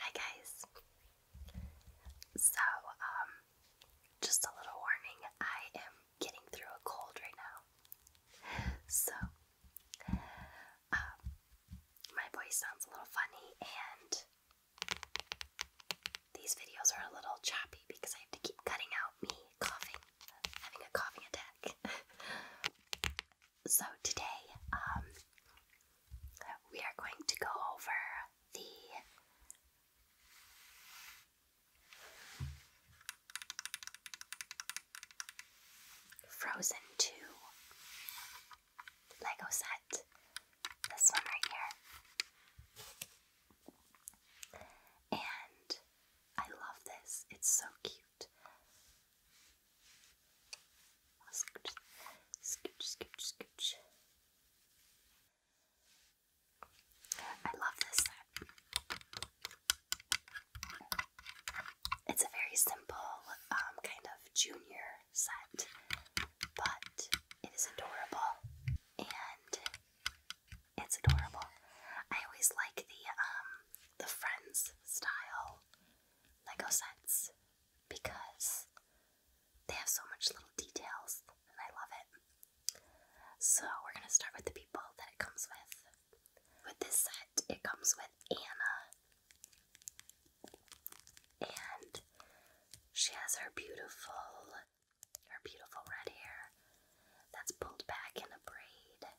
Hi guys. So, um, just a little warning, I am getting through a cold right now. So, um, my voice sounds a little funny, and these videos are a little choppy because I have to keep cutting out me coughing, having a coughing attack. so, today, um, we are going to go over the Frozen 2 Lego set. This one right here. And I love this. It's so cute. Scooch, scooch, scooch, scooch. I love this it's a very simple um, kind of junior set, but it is adorable and it's adorable. I always like the um, the Friends style Lego sets because they have so much little details and I love it. So we're gonna start with the people that it comes with. With this set, it comes with Anna, and she has her beautiful, her beautiful red hair that's pulled back in a braid.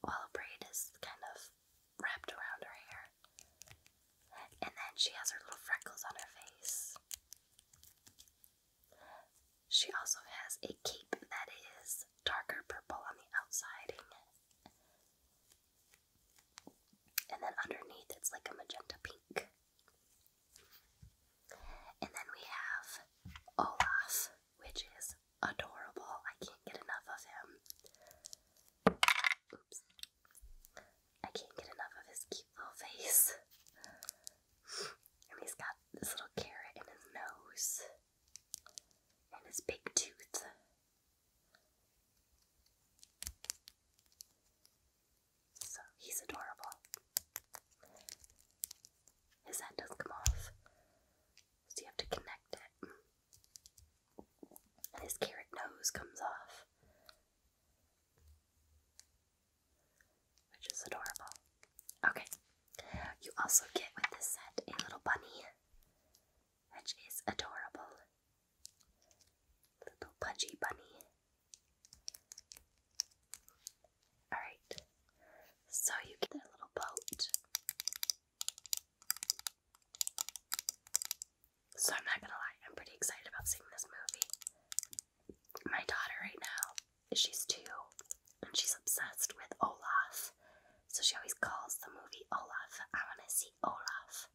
While a braid is kind of wrapped around her hair. And then she has her little freckles on her face. She also has a cape that is darker purple on the outside. And then underneath it's like a magenta pink. And then we have Olaf, which is adorable. I can't get enough of him. Oops. I can't get enough of his cute little face. And he's got this little carrot in his nose and his big tooth. So he's adorable. His head does come off, so you have to connect it. And his carrot nose comes off which is adorable. Okay, you also get with this set a little bunny, which is adorable. Little pudgy bunny. Alright, so you get a little boat. So I'm not gonna lie, I'm pretty excited about seeing this movie. My daughter right now she's two and she's obsessed with Olaf. So she always calls the movie Olaf. I want to see Olaf.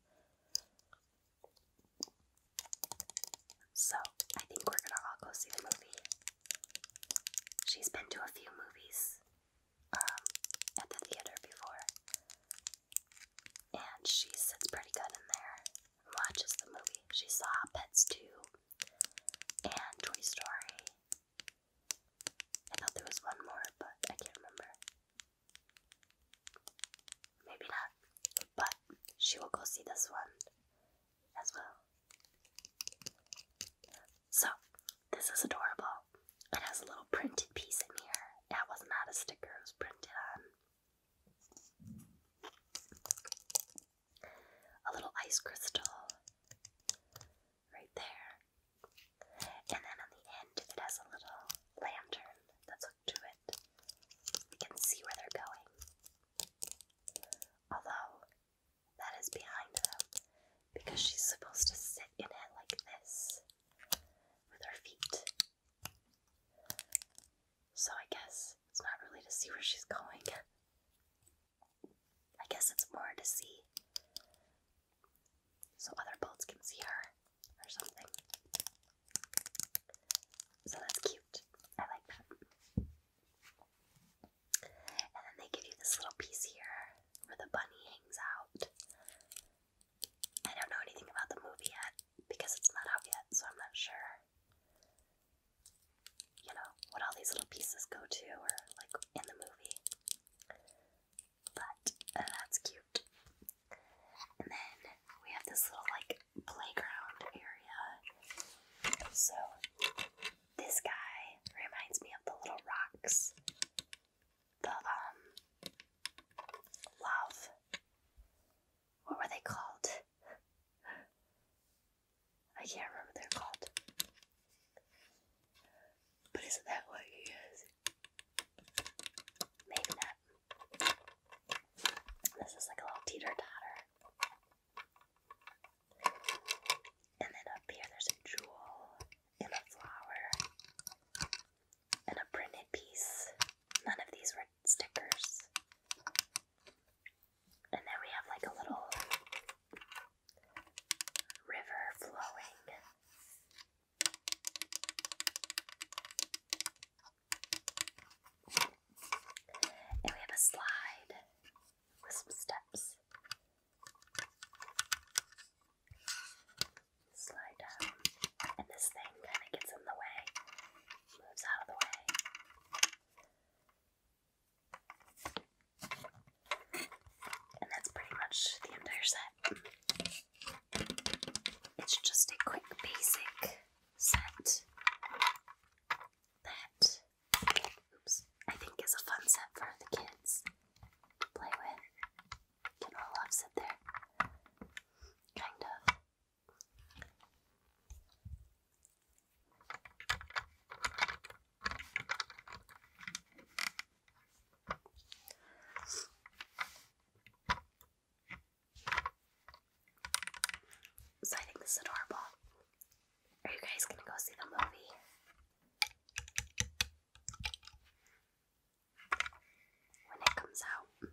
So I think we're gonna all go see the movie. She's been to a few movies um, at the theater before, and she sits pretty good in there and watches the movie. She saw Pets 2 and Toy Story I thought there was one more, but I can't remember. Maybe not. But she will go see this one as well. So, this is adorable. It has a little printed piece in here. That was not a sticker, it was printed on a little ice crystal right there. And then on the end, it has a little lantern that's hooked to it. We can see where they're going. Although, that is behind them because she's supposed to sit in it like this with her feet. So I guess it's not really to see where she's going. I guess it's more to see so other boats can see her or something. So that's cute. I like that. And then they give you this little piece here where the bunny hangs out. I don't know anything about the movie yet because it's not out yet, so I'm not sure you know, what all these little pieces go to or like in the movie. But uh, that's cute. And then we have this little like playground area. So this guy reminds me of the little rocks. The um love. What were they called? I can't remember what they're called. But isn't that what you use? Maybe not. This is like a little teeter totter. And then up here, there's a jewel and a flower and a printed piece. None of these were stickers. And then we have like a little river flowing. And we have a slide with some steps. Slide down. And this thing kind of gets in the way, moves out of the way. And that's pretty much the entire set. It's just a quick basic set that oops, I think is a fun set for the kids to play with. Can all love sit there? Kind of. So I think this is adorable. Are you guys gonna go see the movie? When it comes out,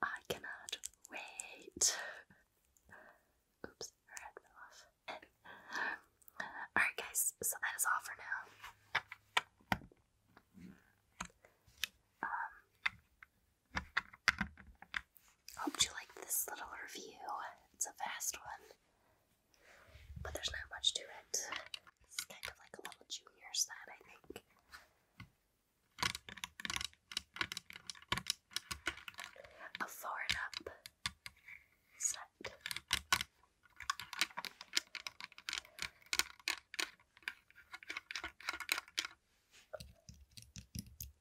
I cannot wait. Oops, her head fell off. Alright, guys, so that is all for now. Um, hope you liked this little review. It's a fast one, but there's not much to it. It's kind of like a little junior set, I think a four up set.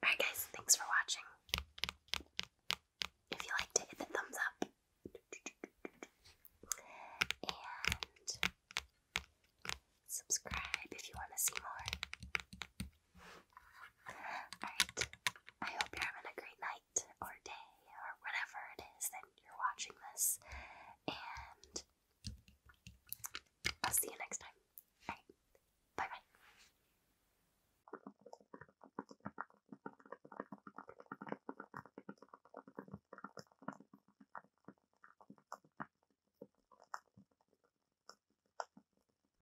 Alright, guys, thanks for watching. If you liked it, hit the thumbs up. And subscribe if you want to see more. Alright, I hope you're having a great night or day or whatever it is that you're watching this, and I'll see you next time. Alright, bye bye.